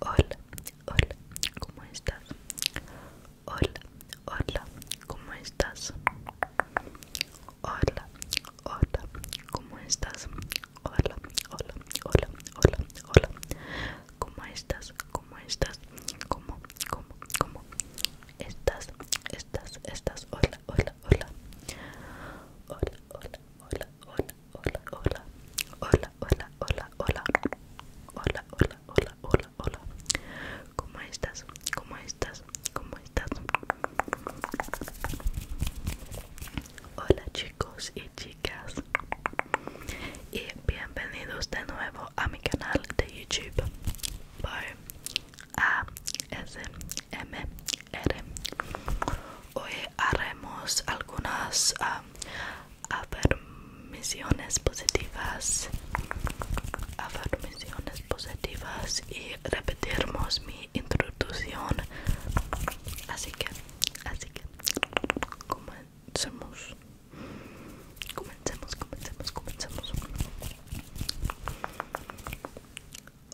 Hola, hola, ¿cómo estás? Hola, hola, ¿cómo estás? Hola, hola, ¿cómo estás? Hola, hola, hola, hola, hola. ¿Cómo estás? ¿Cómo estás? ¿Cómo, cómo, cómo? Estás, estás, estás. Hola, hola, hola. Hola, hola, hola, hola hola, hola, hola, hola, hola, hola, hola, hola, hola, hola, hola. ¿Cómo estás? ¿Cómo estás? ¿Cómo estás? Hola chicos y chicas y bienvenidos de nuevo a mi canal de YouTube m r Hoy haremos algunas afirmaciones positivas. Afirmaciones positivas y repetiremos mi introducción. Así que, así que, comencemos. Comencemos, comencemos, comencemos.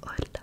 Hola,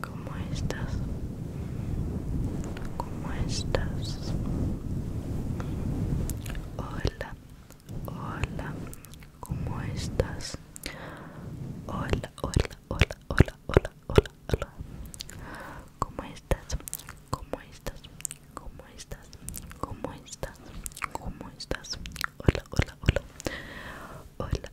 ¿Cómo estás? ¿Cómo estás? Hola, hola, ¿cómo estás? Hola, hola, hola, hola, hola, hola, hola. ¿Cómo estás? ¿Cómo estás? ¿Cómo estás? ¿Cómo estás? ¿Cómo estás? Hola, hola, hola. Hola,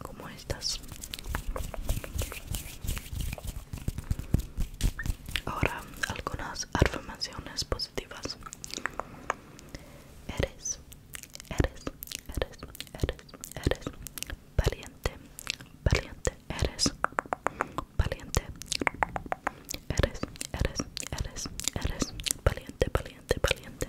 como estas ahora algunas afirmaciones positivas eres eres eres eres eres valiente valiente eres valiente eres eres eres eres valiente valiente valiente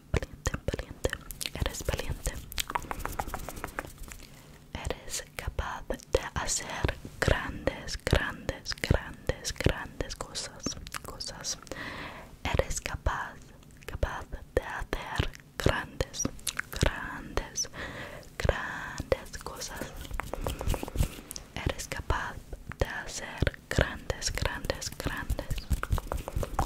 Valiente, valiente, eres valiente. Eres capaz de hacer grandes, grandes, grandes, grandes cosas, cosas. Eres capaz, capaz de hacer grandes, grandes, grandes cosas. Eres capaz de hacer grandes, grandes, grandes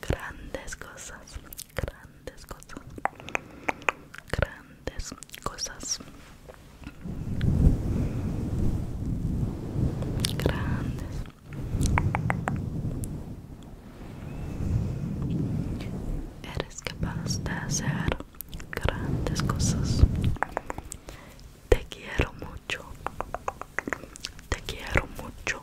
grandes cosas, grandes cosas, grandes cosas, grandes, eres capaz de hacer grandes cosas. Te quiero mucho. Te quiero mucho.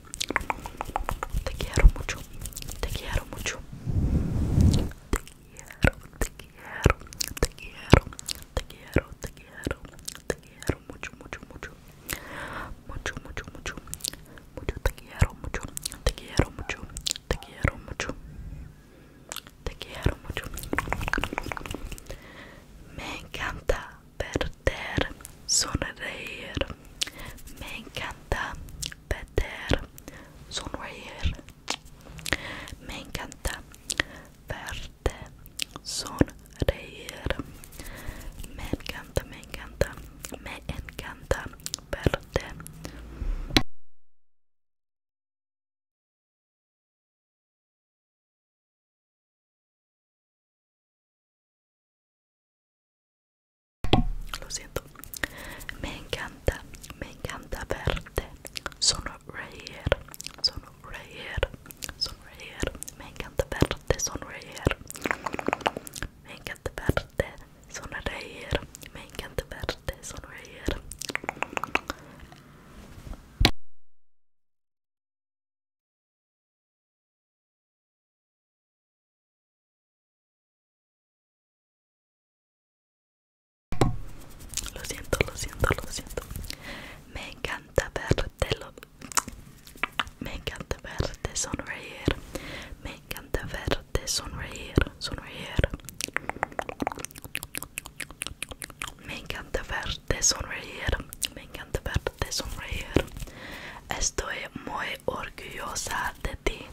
Te quiero mucho. Te quiero mucho. Te quiero, te quiero, te quiero, te quiero, te quiero, te quiero mucho, mucho, mucho. Mucho, mucho, mucho. Mucho te quiero mucho. Te quiero mucho. Te quiero mucho. Te quiero mucho. Me encanta perder, sonreír. Me encanta Peter Sonroyer. Me encanta verte sonreír. Me encanta, me encanta, me encanta verte. Lo siento. Me encanta, me encanta verte. Sonreír, sonreír, sonreír. Me encanta verte, sonreír. Me encanta verte, sonreír. Me encanta verte, sonreír. Lo siento, lo siento, lo siento. Me encanta verte, lo... me encanta verte sonreír. Me encanta verte sonreír, sonreír. Me encanta verte sonreír. Me encanta verte sonreír. Estoy muy orgullosa de ti.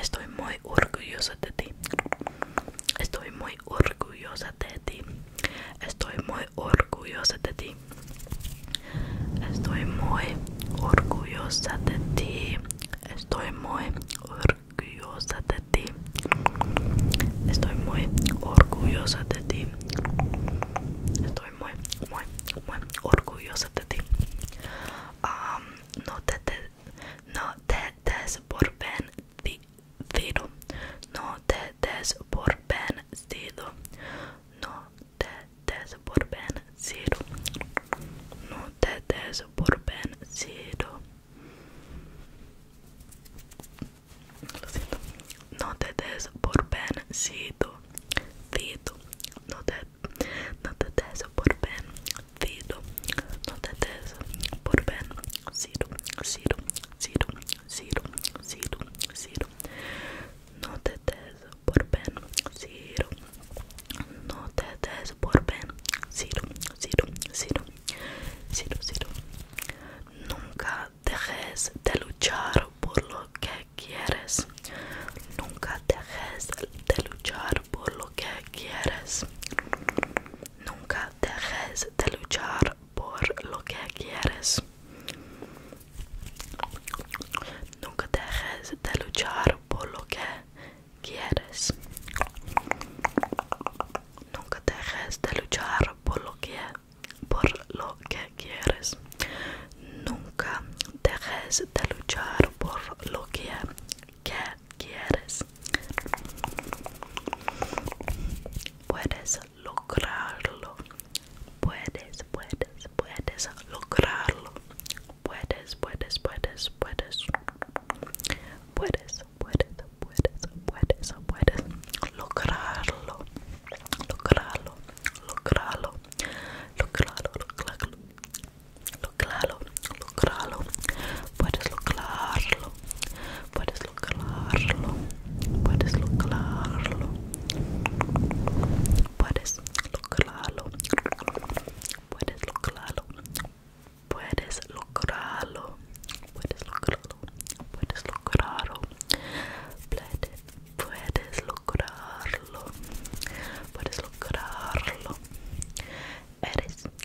Estoy muy orgullosa de ti. Estoy muy orgullosa de ti. Estoy muy orgullosa de ti. Estoy muy orgullosa de ti. Estoy muy orgullosa de ti. Estoy muy orgullosa de ti. Estoy muy, muy, muy orgullosa de ti. Um, no te, te no te des por vencido, no te des por vencido, no te des por vencido, no te des por vencido. Lo siento. No te des por vencido, no te, no te des por vencido. Fido, no te des por Ben, cero cero cero cero cero Ciro, no te des por Ben, cero no te des por Ben, cero cero cero cero cero nunca dejes de luchar por lo que quieres, nunca dejes de luchar por lo que quieres. Nunca dejes de luchar por lo que quieres. Nunca dejes de luchar por lo que quieres. Nunca dejes de luchar por lo que por lo que quieres. Nunca dejes de luchar por lo que, que quieres. Puedes lograrlo. Puedes, puedes, puedes lograrlo. Puedes, puedes, puedes, puedes. Puedes, puedes, puedes, puedes, puedes lograrlo. Lograrlo, lograrlo, lograrlo, lograrlo. lograrlo, lograrlo, puedes lograrlo, puedes lograrlo, puedes lograrlo, puedes lograrlo, puedes lograrlo, puedes lograrlo, puedes lograrlo, puedes lograrlo, puedes lograrlo, puedes lograrlo, eres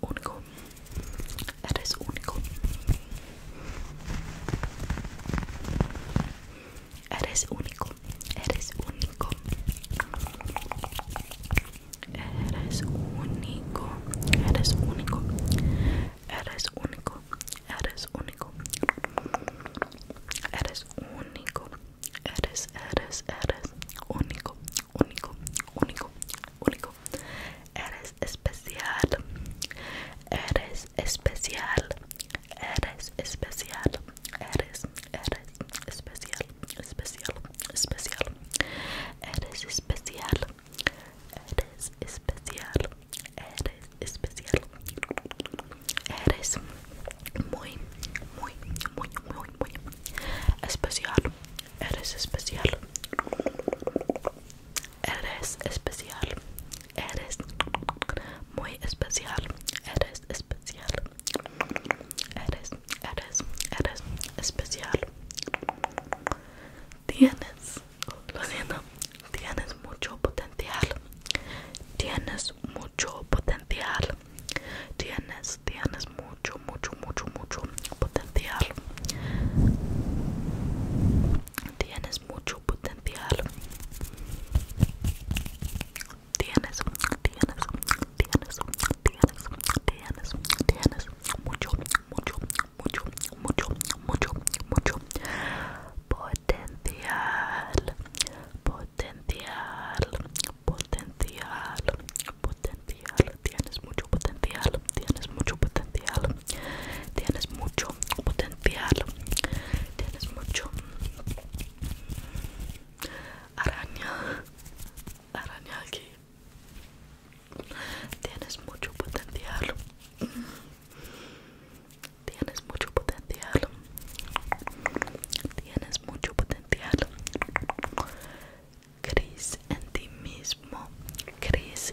único, Eres único. Eres único. Eres único. Eres único. Eres único. Eres único. Eres único. Eres único. Eres, eres, eres único, único, único, único, Eres especial. Eres especial. Eres especial. Eres, eres especial, especial, especial. Eres especial. Eres especial. Eres especial. Eres muy, muy, muy, muy, muy especial. Eres especial. Eres especial. Eres muy especial. Eres especial. Eres, eres, eres especial. Tienes, lo siento, tienes mucho potencial. Tienes mucho potencial. Tienes, tienes mucho, mucho, mucho, mucho potencial. Tienes mucho potencial. Tienes, tienes, tienes, tienes, tienes, tienes mucho, mucho, mucho, mucho, mucho, mucho potencial, potencial, potencial, potencial. Tienes mucho potencial, tienes mucho potencial, tienes mucho potencial, tienes mucho araña, araña aquí, tienes mucho potencial, tienes mucho potencial, tienes mucho potencial. Cris en ti mismo, Cris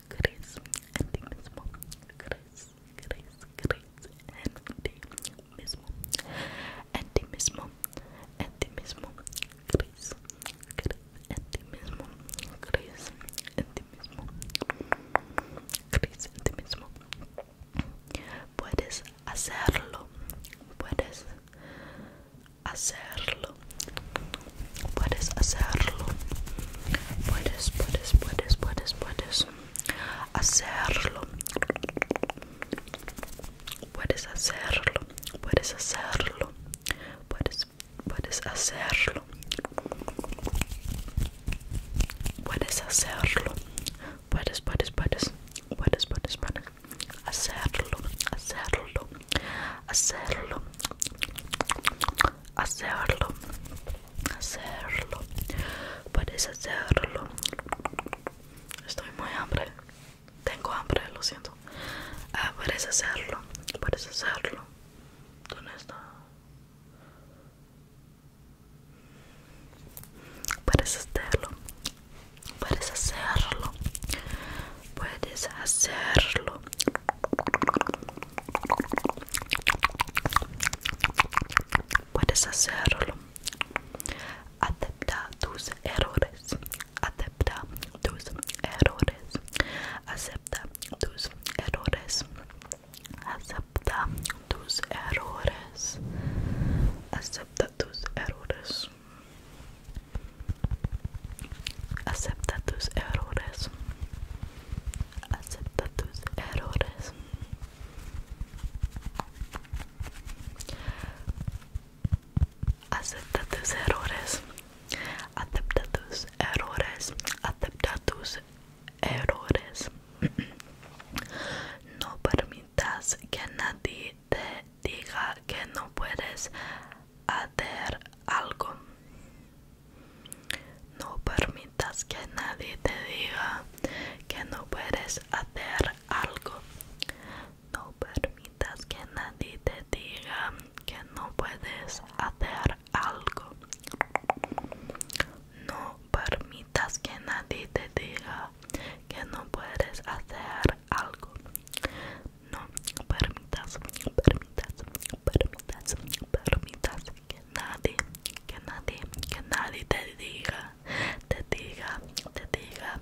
Grace, and ti mismo. Grace, Grace, Grace, and ti mismo. And ti mismo. And ti mismo. Grace, Grace, and ti mismo. Grace, Puedes hacerlo. Puedes hacerlo puedes hacerlo puedes puedes puedes puedes puedes hacerlo puedes hacerlo puedes hacerlo puedes puedes hacerlo puedes hacerlo puedes puedes puedes puedes puedes puedes hacerlo hacerlo hacerlo hacerlo hacerlo puedes hacerlo estoy muy hambre tengo hambre lo siento ah, puedes hacerlo puedes hacerlo ¿Dónde está? Puedes hacerlo, puedes hacerlo, puedes hacerlo, Puedes hacerlo. Acepta tus errores. Acepta tus errores. Acepta tus errores. Acepta tus errores. Acepta tus errores. Acepta tus errores acepta tus errores acepta tus errores acepta tus errores acepta tus errores no permitas que nadie te diga que no puedes hacer algo no permitas que nadie te diga que no puedes hacer algo. No permitas que nadie te diga que no puedes hacer algo. No permitas que nadie te diga que no puedes hacer algo. No permitas, permitas, permitas, permitas que nadie, que nadie, que nadie te diga, te diga, te diga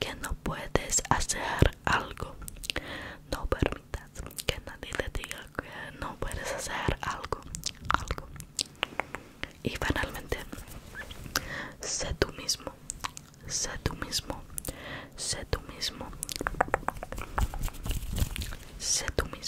que no puedes hacer algo. No permitas que nadie te diga que no puedes hacer algo, algo. Y finalmente, sé tú mismo, sé tú mismo, sé tú mismo, sé tú mismo.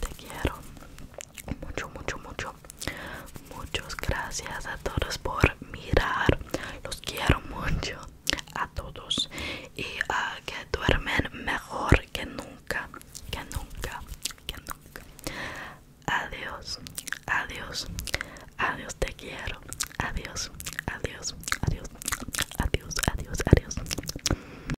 Te quiero mucho, mucho, mucho. Muchas gracias a todos por mirar. Los quiero mucho a todos y que duermen mejor que nunca, que nunca, que nunca. Adiós, adiós, adiós, te quiero. Adiós, adiós, adiós, adiós, adiós, adiós.